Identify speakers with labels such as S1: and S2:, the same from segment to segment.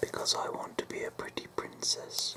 S1: Because I want to be a pretty princess.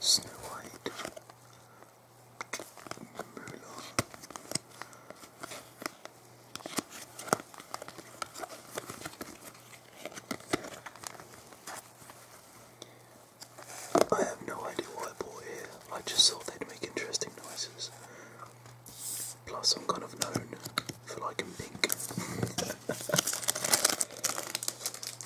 S1: Snow White, Camilla, I have no idea what I bought here, I just thought they'd make interesting noises. Plus, I'm kind of known for liking pink.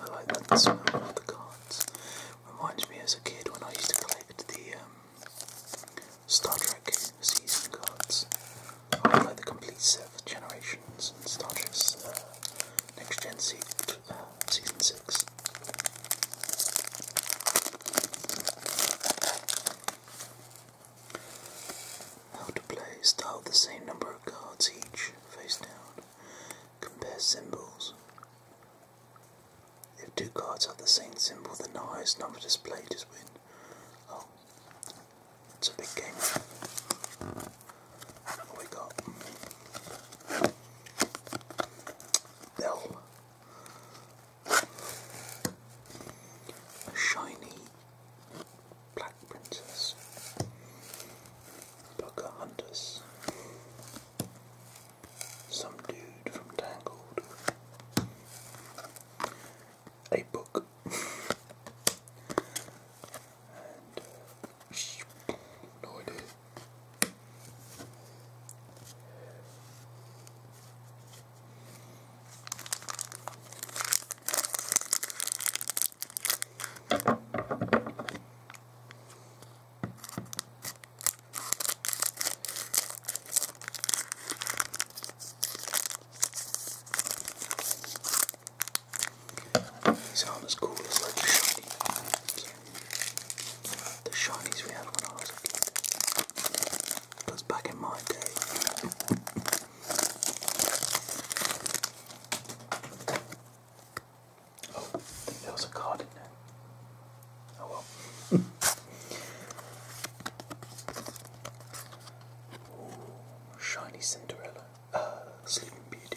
S1: I like that the smell of the cards. Reminds me as a kid when I used to collect the um, Star Trek season cards. I like the complete set of Generations and Star Trek's uh, Next Gen uh, Season 6. How to play. Start with the same number of cards each, face down. Compare symbols. If two cards have the same symbol, the highest number displayed is win. Oh, it's a big game. What we got? L. A shiny Black Princess, Hunters, some dude from Tangled, a book, and uh, no idea. These are as cool as the shinies. The shinies we had when I was Because back in my day, Oh, there was a card in there. Oh shiny Cinderella. Uh, Sleeping Beauty.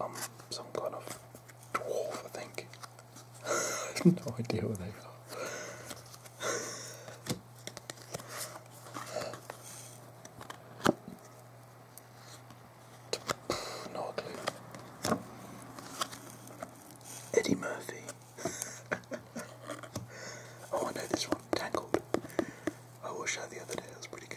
S1: I'm um, some kind of dwarf, I think. I have no idea where they are. No Eddie Murphy. oh, I know this one. Tangled. I watched that the other day. That was pretty good.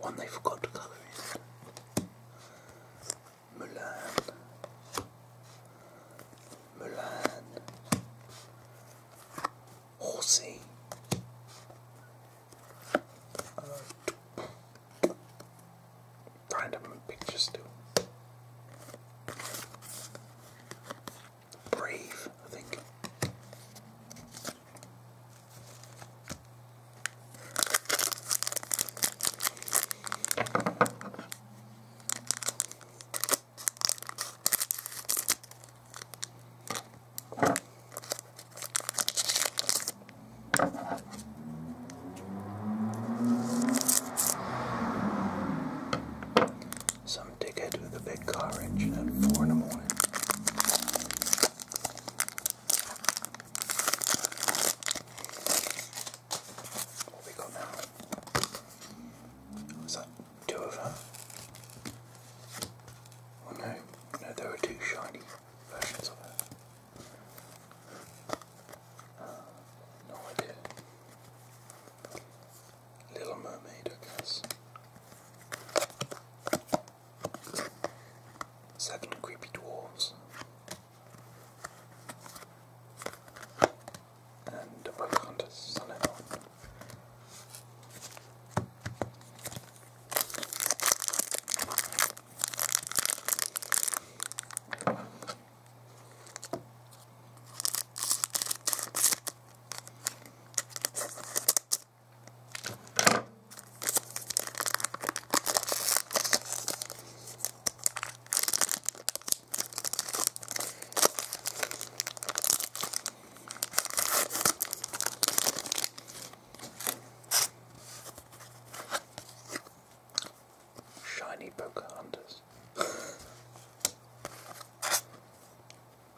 S1: One they forgot to colour in. Mulan. Mulan. Horsey. Uh, random pictures still. Brave, I think. Some ticket with a big car engine at 4 in the morning. What we got now? Was that two of them? Oh no, no, there were two shiny versions of her. Ah, no idea. Little Mermaid, I guess. Seven creepy dwarves. And a Pocahontas son in law. Shiny Pocahontas.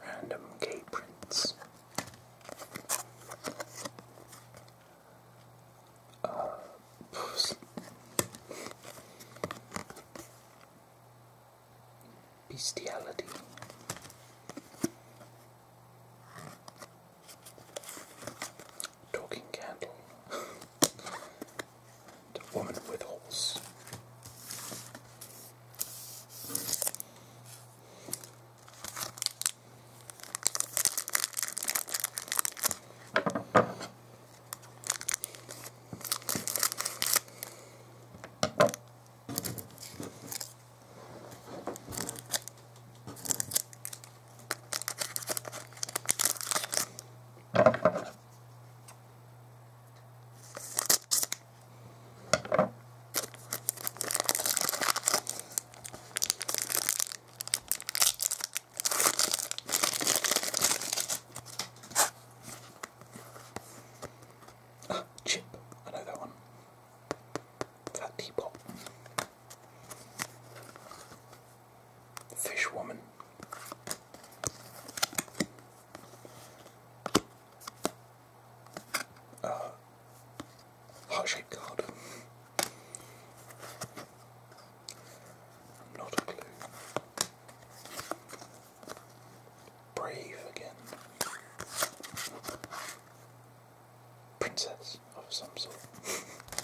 S1: Random K prints. Uh, bestiality. Talking candle. The woman with holes. Ah, chip. I know that one. That teapot. Fish Woman. Uh, heart shaped card. Not a clue. Brave again. Princess of some sort.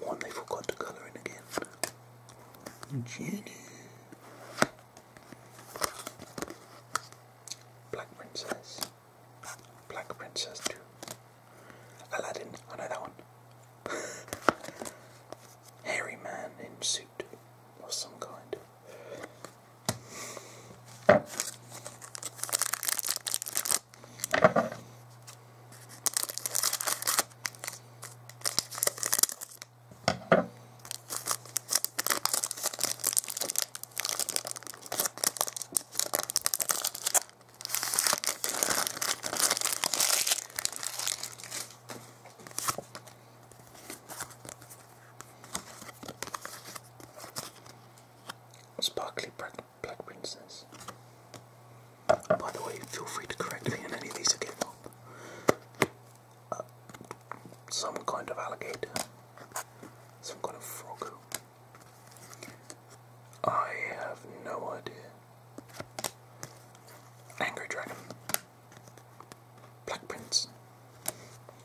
S1: One they forgot to colour in again. Jenny. Black Princess. Black Princess 2. Aladdin. I know that one. Hairy man in suit of some kind. Sparkly pregnant. Black Princess. By the way, feel free to correct me on any of these again. Uh, some kind of alligator. Some kind of frog. I have no idea. Angry Dragon. Black Prince.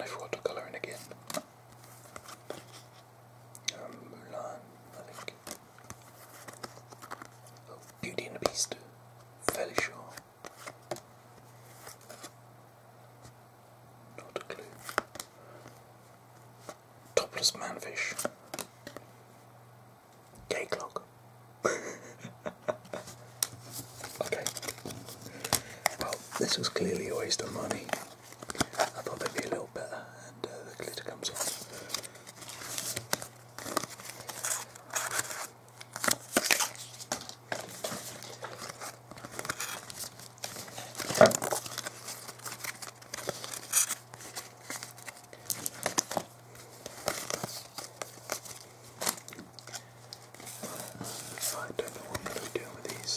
S1: I watercolour in again. Um, Mulan, I think. Oh, Beauty and the Beast. Fairly sure. Not a clue. Topless manfish. Gay clock. okay. Well, this was clearly a waste of money. I thought they'd be a little better, and uh, the glitter comes off. I don't know what I'm going to be doing with these.